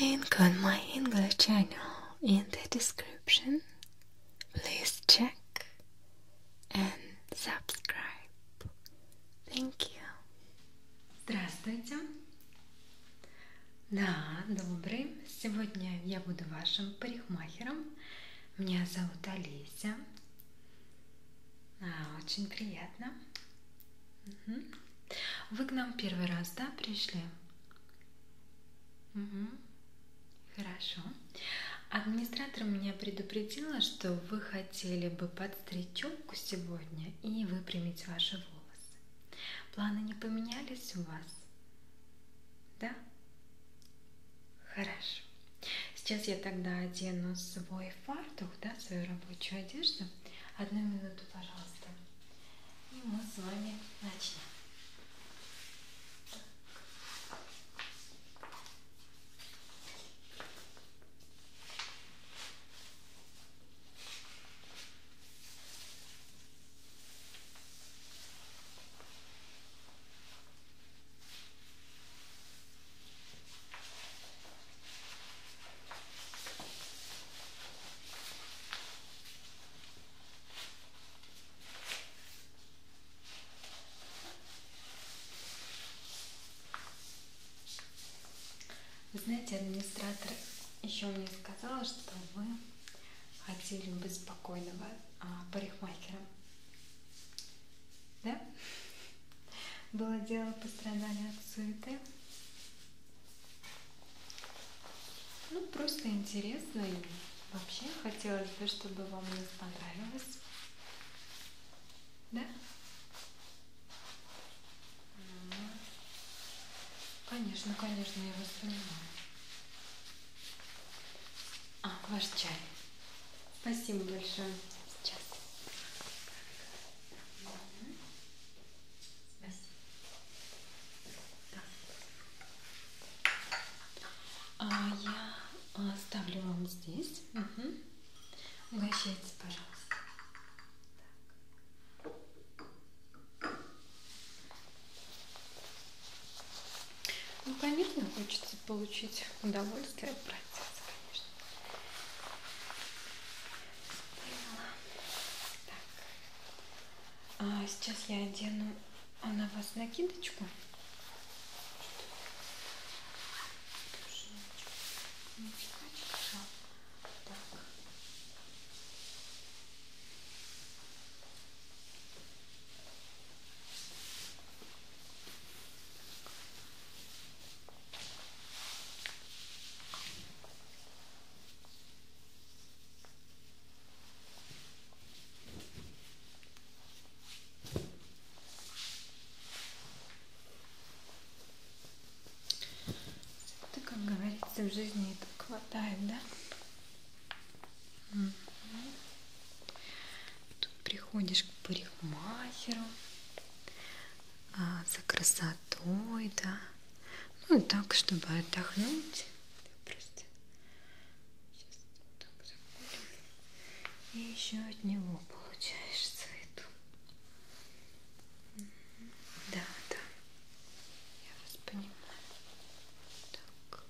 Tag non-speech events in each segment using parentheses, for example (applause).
Link on my English channel in the description. Please check and subscribe. Thank you. Здравствуйте. Да, добрый. Сегодня я буду вашим парикмахером. Меня зовут Олеся. А, очень приятно. Угу. Вы к нам первый раз, да, пришли? Угу. Хорошо. Администратор меня предупредила, что вы хотели бы подстричь челку сегодня и выпрямить ваши волосы. Планы не поменялись у вас? Да? Хорошо. Сейчас я тогда одену свой фартук, да, свою рабочую одежду. Одну минуту, пожалуйста. И ну, мы с вами начнем. Вы знаете, администратор еще мне сказала, что вы хотели быть спокойного а, парикмахера. Да? Было дело, пострадали от суеты. Ну, просто интересно и вообще хотелось бы, чтобы вам нас понравилось. Да? Ну, конечно, конечно, я вас понимаю. А, ваш чай. Спасибо большое. Сейчас. А я оставлю а, вам здесь. Угу. Угощайтесь, пожалуйста. Так. Ну, понятно, хочется получить удовольствие от процесса, конечно. Так. А сейчас я одену а, на вас накидочку. Так. Это, как говорится, в жизни и так хватает, да? Тут приходишь к парикмахеру, а, за красотой, да. Ну и так, чтобы отдохнуть. Просто сейчас так заходим. И еще от него получаешь цвету. Да, да. Я вас понимаю. Так.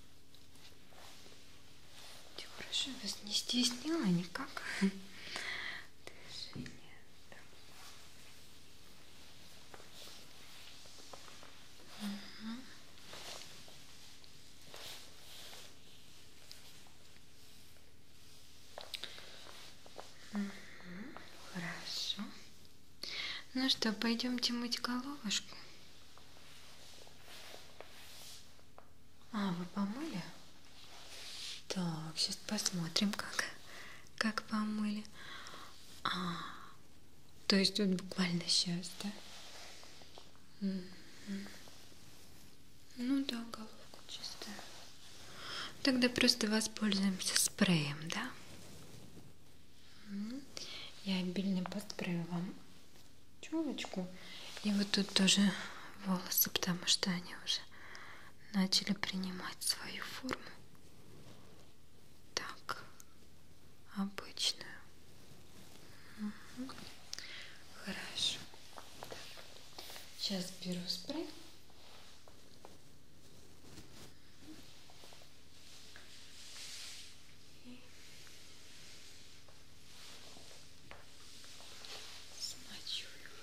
Я прошу вас не стеснила никак. Движение. Угу. Угу. Хорошо. Ну что, пойдемте мыть головушку. А, вы помыли? Так, сейчас посмотрим, как, как помыли. А, то есть вот буквально сейчас, да? Ну да, головка чистая. Тогда просто воспользуемся спреем, да? Я обильно поспрею вам челочку. И вот тут тоже волосы, потому что они уже начали принимать свою форму. Так, обычную. Угу. Хорошо. Так. Сейчас беру спрей. И смочу его.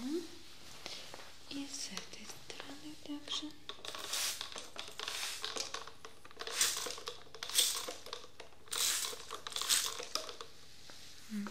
Угу. И с этой стороны также. Угу.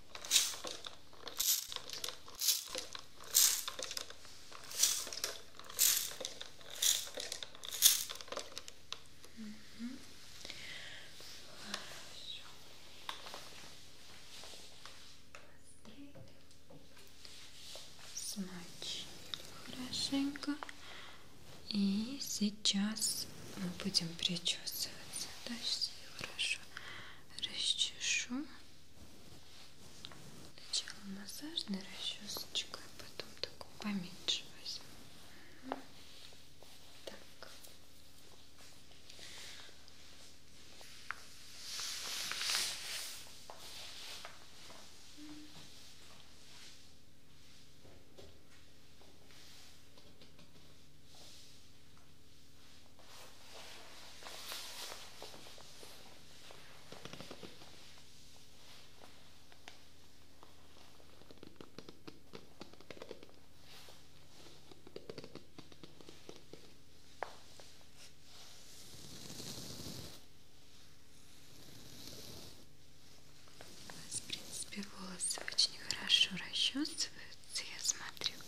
Угу. Смочили хорошенько. И сейчас мы будем причесываться. Дальше хорошо расчешу. Сначала массажной расчесочкой, а потом такую поменьше возьму. Так. Так. У нас, в принципе, волосы очень хорошо расчесываются кажется, я смотрю. Да.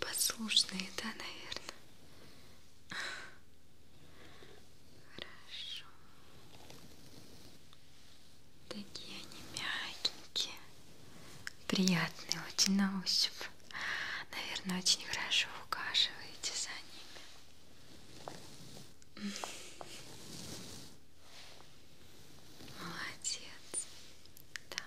Послушные, да, наверное? Хорошо. Такие они мягенькие, приятные очень на ощупь. Наверное, очень хорошо ухаживаете за ними. Молодец. Так.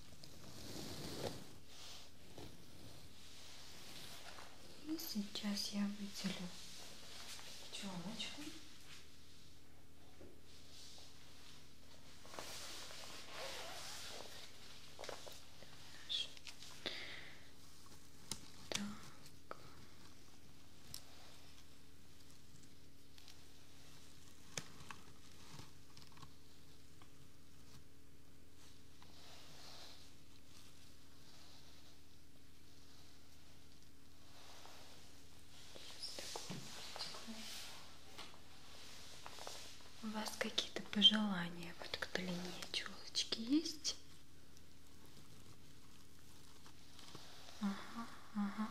И сейчас я выделю пчелочку. Так. У вас какие-то пожелания вот к длине челочки есть? Ага, ага.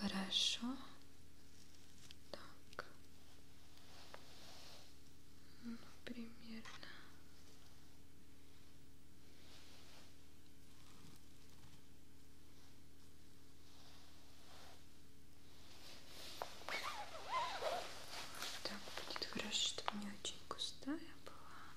Хорошо так ну, примерно так будет хорошо, чтобы не очень густая была.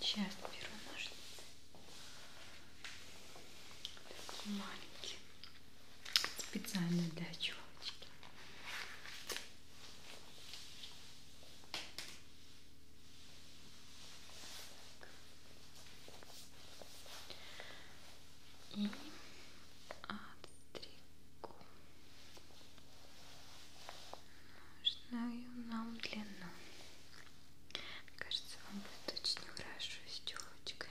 Сейчас беру ножницы. Такие маленькие специально для челочки. И отстригу нужную нам длину. Мне кажется, вам будет очень хорошо с челочкой.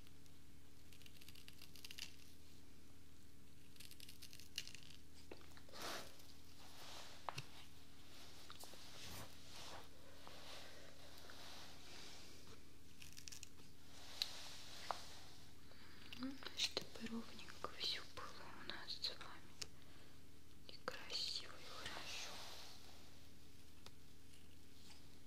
Ну, чтобы ровненько все было у нас с вами и красиво и хорошо.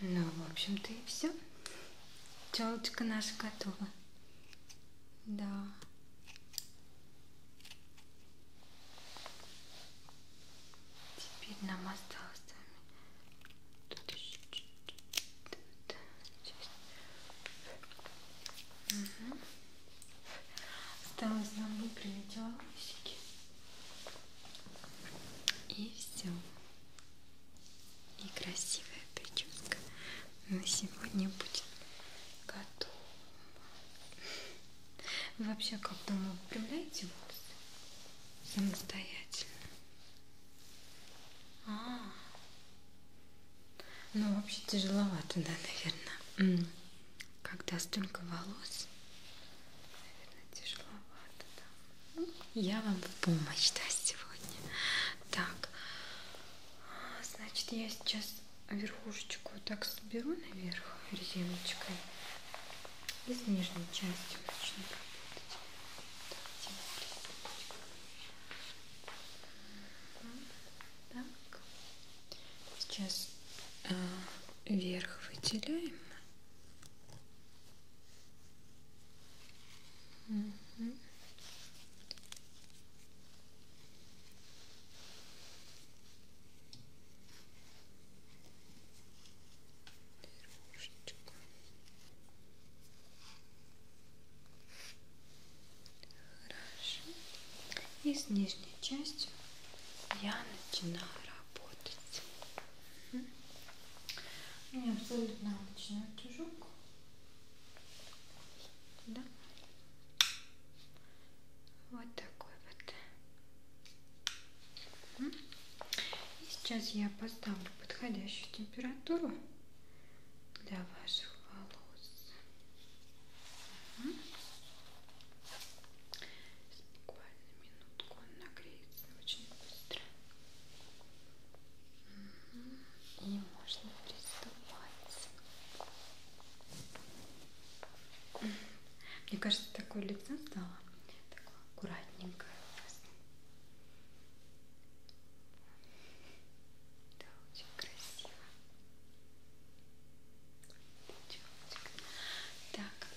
Ну, в общем-то и все. Челочка наша готова. Да. Теперь нам осталось с вами. Тут еще чуть-чуть. Угу. Осталось нам выпрямить волосики. И все и красивая прическа на сегодня будет готова. Вы вообще как дома выпрямляете волосы? Самостоятельно. А, -а, а, ну вообще тяжеловато, да, наверное. Когда столько волос, тяжеловато, да. Ну, я вам в помощь, да, сегодня. Так, значит, я сейчас верхушечку так соберу наверх резиночкой и с нижней частью начну работать. Так, так. сейчас э, вверх выделяем Угу. Пирожечко. Хорошо. И с нижней частью я начинаю работать. У меня абсолютно обычный утюжок. Да. Вот такой вот. И сейчас я поставлю подходящую температуру для ваших волос. Сейчас буквально минутку он нагреется очень быстро. Угу. И можно приступать. Мне кажется, такое лицо стало. Такое аккуратненькое у нас. Да, очень красиво. Так,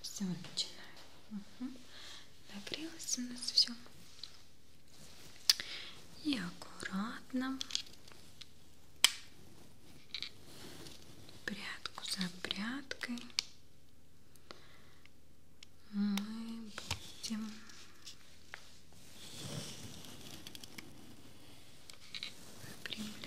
все, начинаем. Угу. Нагрелось у нас все. И аккуратно прядку за прядкой мы будем выпрямлять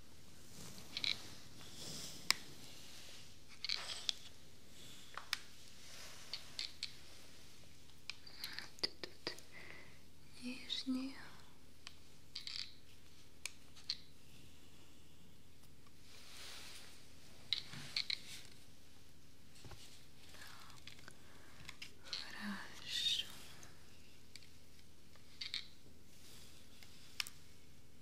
Тут, тут нижние. Хорошо.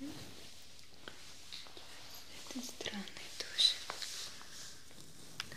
С этой стороны тоже. Да.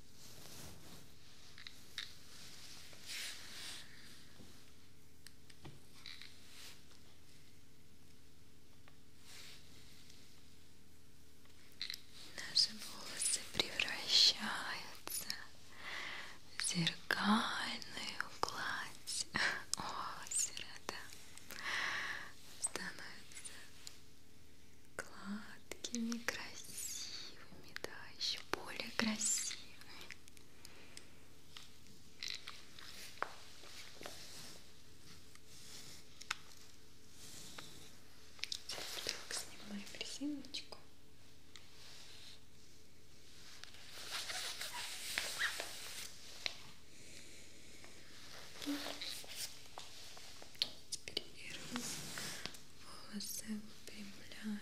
Наши волосы превращаются в зеркальную гладь (laughs) озера, да, становятся гладкими, красивыми, да, еще более красивыми. Сейчас так снимаю резиночку. Теперь волосы выпрямляем.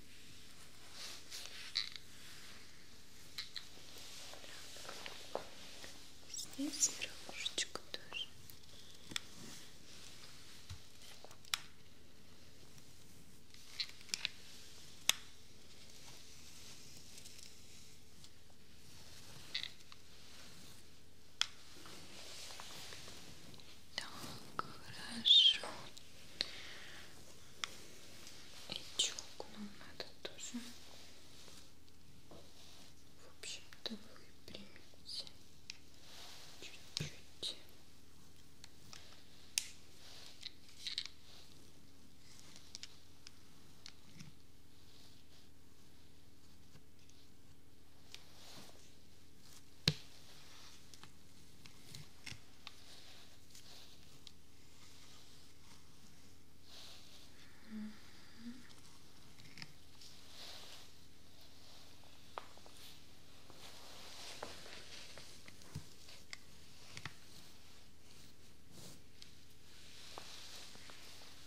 Здесь верхушечка тоже. Так, хорошо. И челку нам надо тоже, в общем-то, выпрямить чуть-чуть. Угу.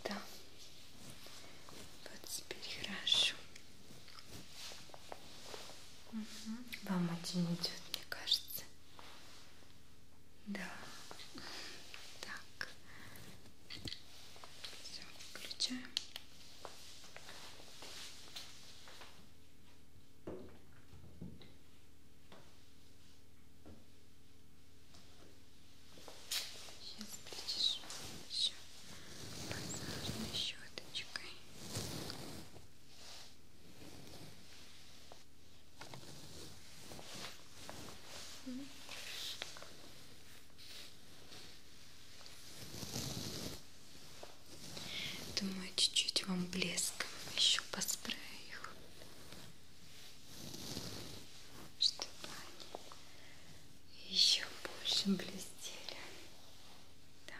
Да, вот теперь хорошо. Угу. Вам очень идет, мне кажется. Да. Так. Все, включаем. Сейчас причешу еще массажной щеточкой. Думаю, чуть-чуть вам блеском еще поспраю их, чтобы они еще больше блестели. Да.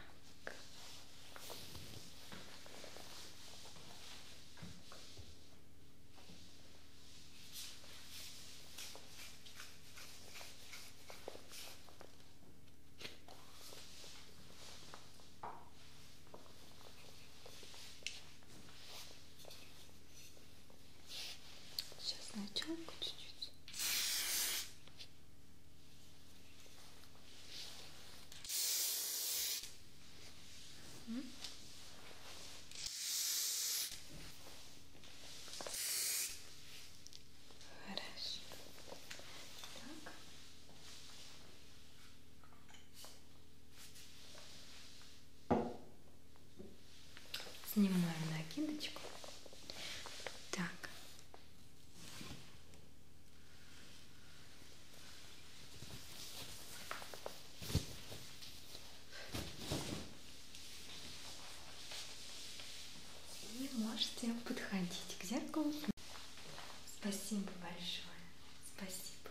Сейчас на челку чуть-чуть. Хорошо. Так. Снимаем накидочку. Так. И можете подходить к зеркалу. Спасибо большое. Спасибо.